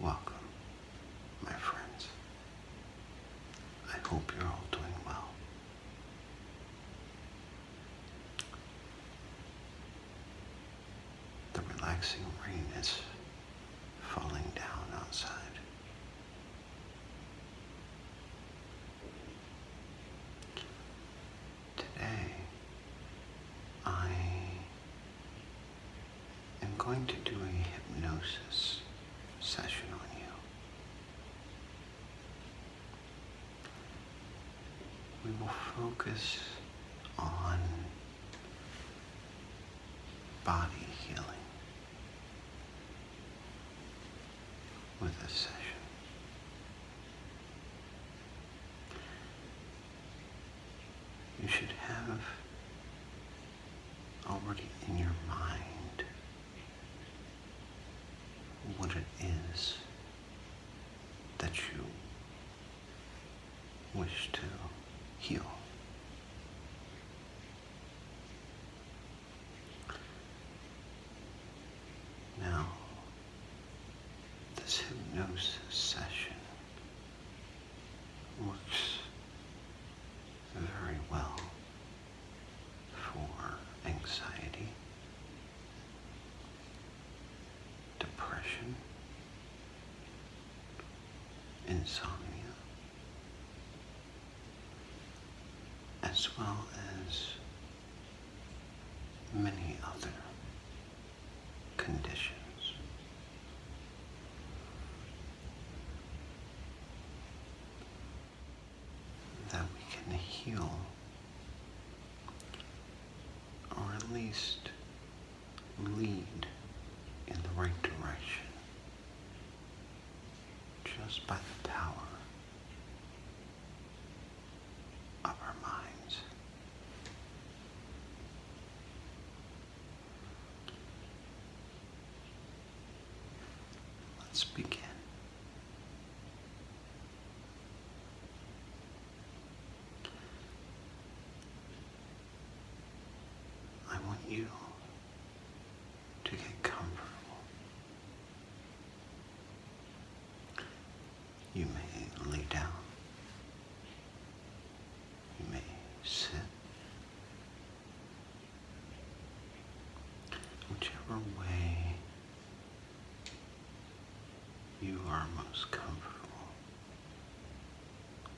Welcome, my friends. I hope you're all doing well. The relaxing rain is falling down outside. Today, I I'm going to do a hypnosis session on you. We will focus on body healing with this session you should have already in your mind what it is that you wish to heal. Now, this hypnosis session works very well for anxiety, depression, insomnia, as well as many other conditions. That we can heal, or at least lead in the right direction, just by the power of our minds. Let's begin. I want you to get comfortable. You may lay down. You may sit. Whichever way you are most comfortable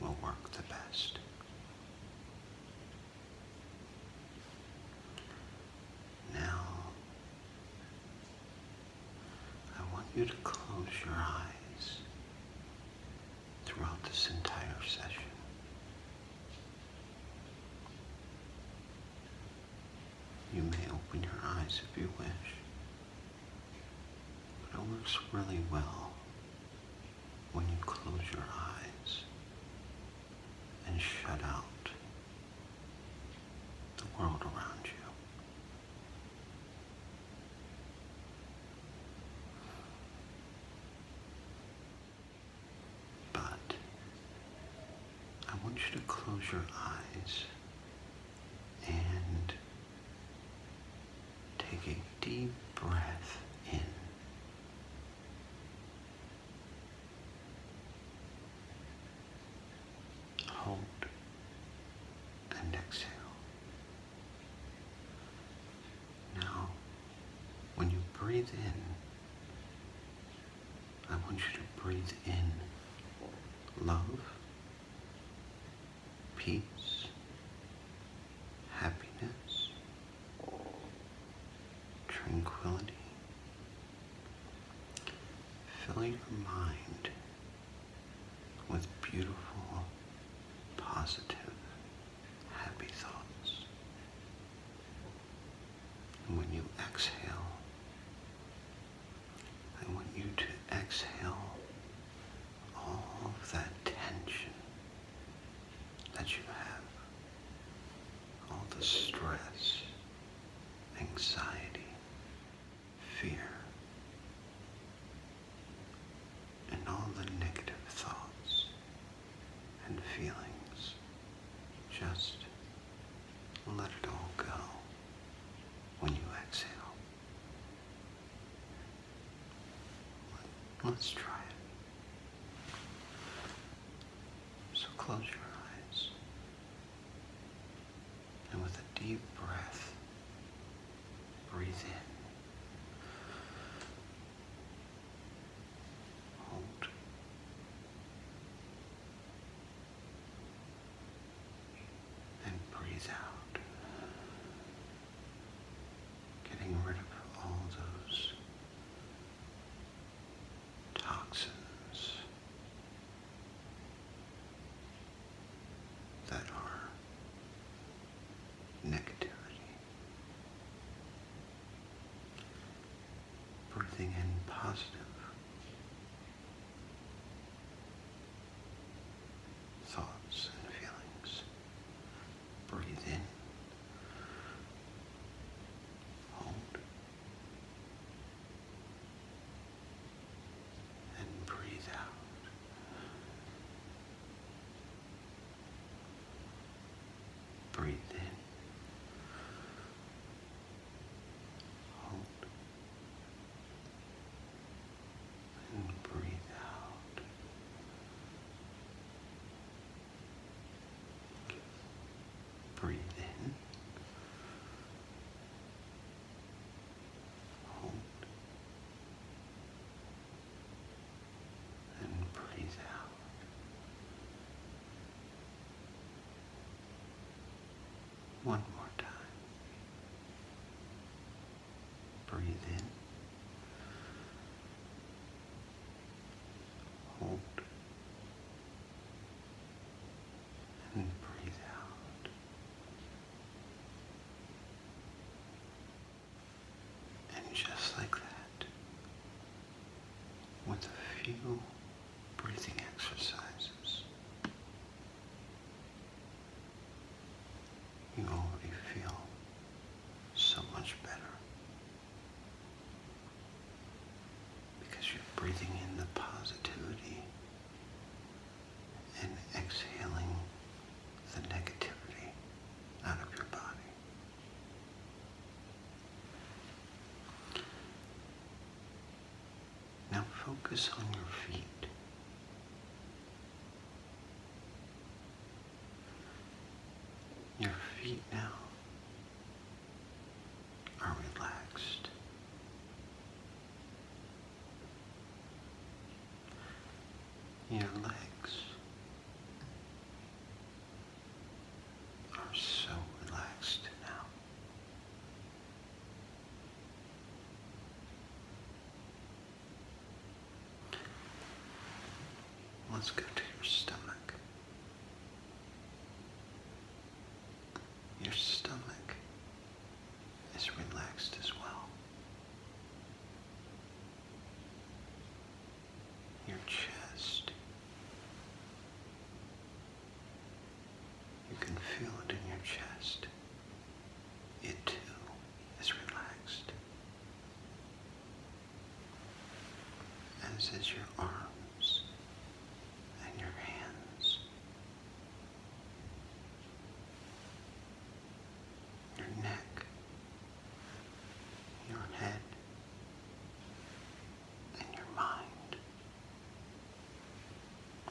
will work the best. Now, I want you to close your eyes throughout this entire session. You may open your eyes if you wish, but it works really well when you close your eyes and shut out the world around you. But I want you to close your eyes and take a deep breath in hold, and exhale. Now, when you breathe in, I want you to breathe in love, peace, happiness, tranquility. filling your mind with beautiful, positive, happy thoughts. And when you exhale, I want you to exhale all of that tension that you have, all the stress, anxiety, fear, and all the negative thoughts and feelings. Just let it all go when you exhale. Let's try it. So close your eyes. And with a deep breath, breathe in. Hold. And breathe out. Getting rid of all those toxins that are negativity. Breathing in positive. Thoughts and feelings. Breathe in. Hold and breathe out. Breathe in. Hold. And breathe out. Breathe in. Hold. And breathe out. One more time. Breathe in. Hold and then breathe out. And just like that, with a few breathing exercises, you already feel so much better because you're breathing in the positivity and exhaling the negativity out of your body. Now focus on your feet. Your feet now are relaxed. Your legs are so relaxed now. Let's go to your stomach. Your stomach is relaxed as well. Your chest. You can feel it in your chest. It too is relaxed. As is your arms and your hands your neck, your head, and your mind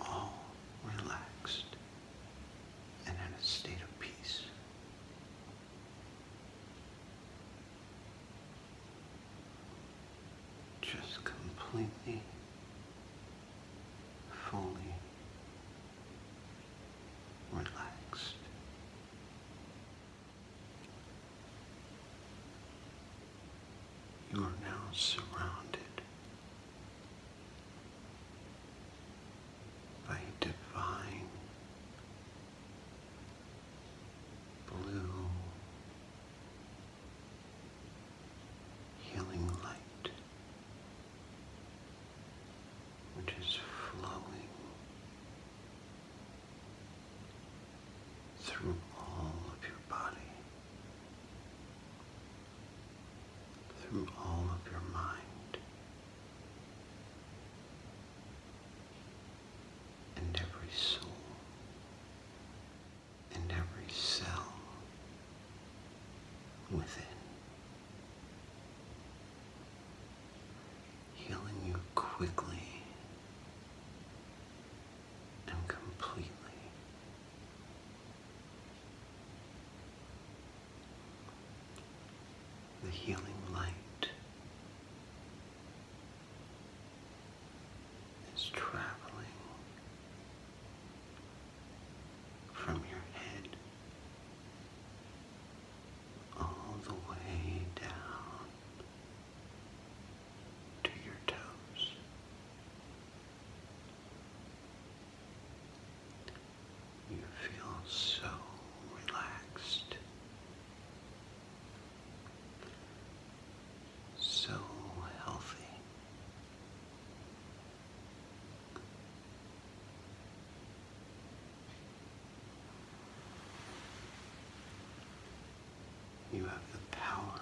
all relaxed and in a state of peace. Just completely fully relaxed. You are now surrounded by divine blue healing light which is flowing through all of your body, through all of your mind. And every soul and every cell within. Healing you quickly and completely. The healing light is traveling from your head all the way down to your toes. You feel so relaxed, so healthy. You have the power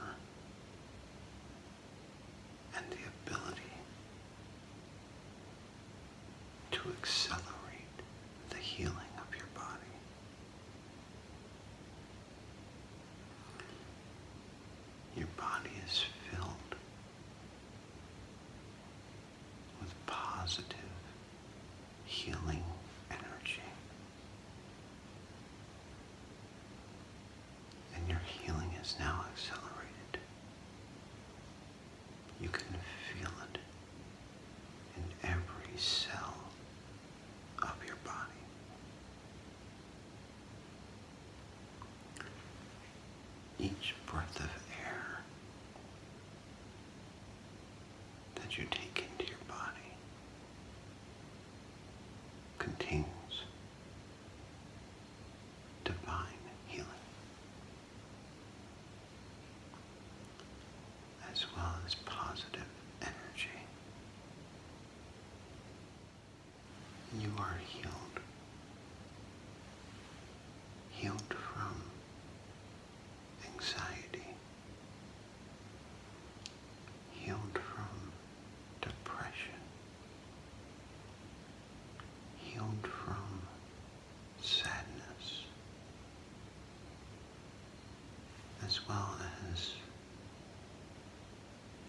and the ability to accelerate the healing of your body. Your body is filled with positive healing energy. And your healing is now accelerated. You can feel it in every cell of your body. Each breath of air that you take into your body contains divine healing, as well as positive energy you are healed. Healed from anxiety. Healed from depression. Healed from sadness. As well as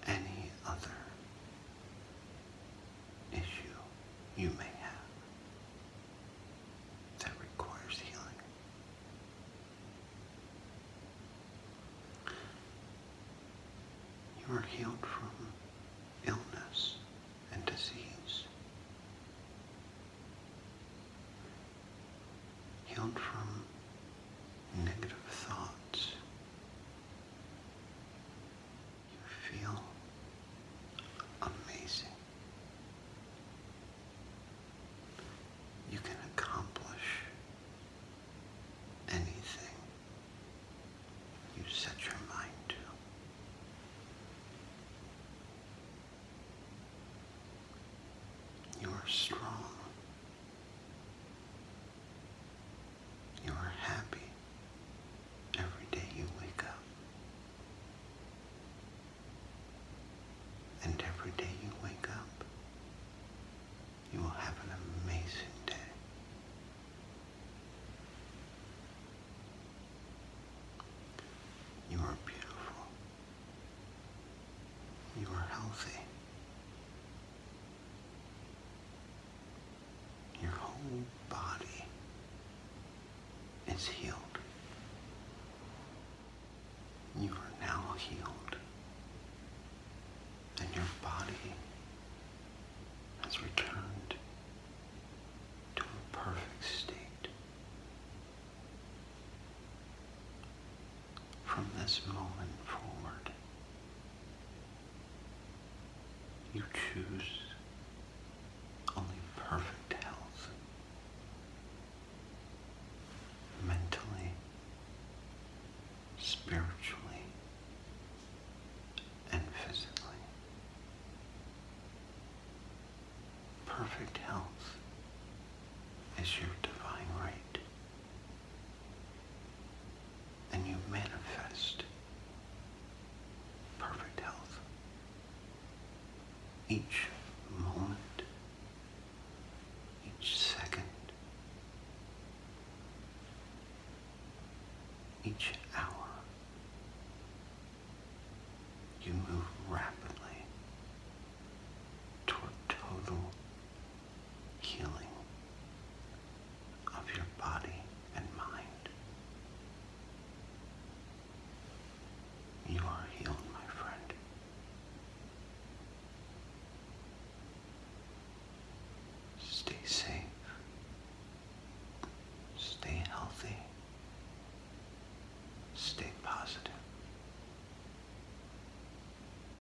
any other issue you may have that requires healing. You are healed from illness and disease, healed from negative thoughts you feel amazing. You can accomplish anything you set your mind to. You are strong. You are happy every day you wake up. And every day you wake up, you will have an amazing day. You are beautiful. You are healthy. Your whole body is healed. You are now healed. And your body has returned to a perfect state from this moment forward. You choose only perfect health, mentally, spiritually, and physically. Perfect health is your divine right and you manifest perfect health. Each moment, each second, each hour, you move rapidly to a total healing of your body and mind. You are healed, my friend. Stay safe. Stay healthy. Stay positive.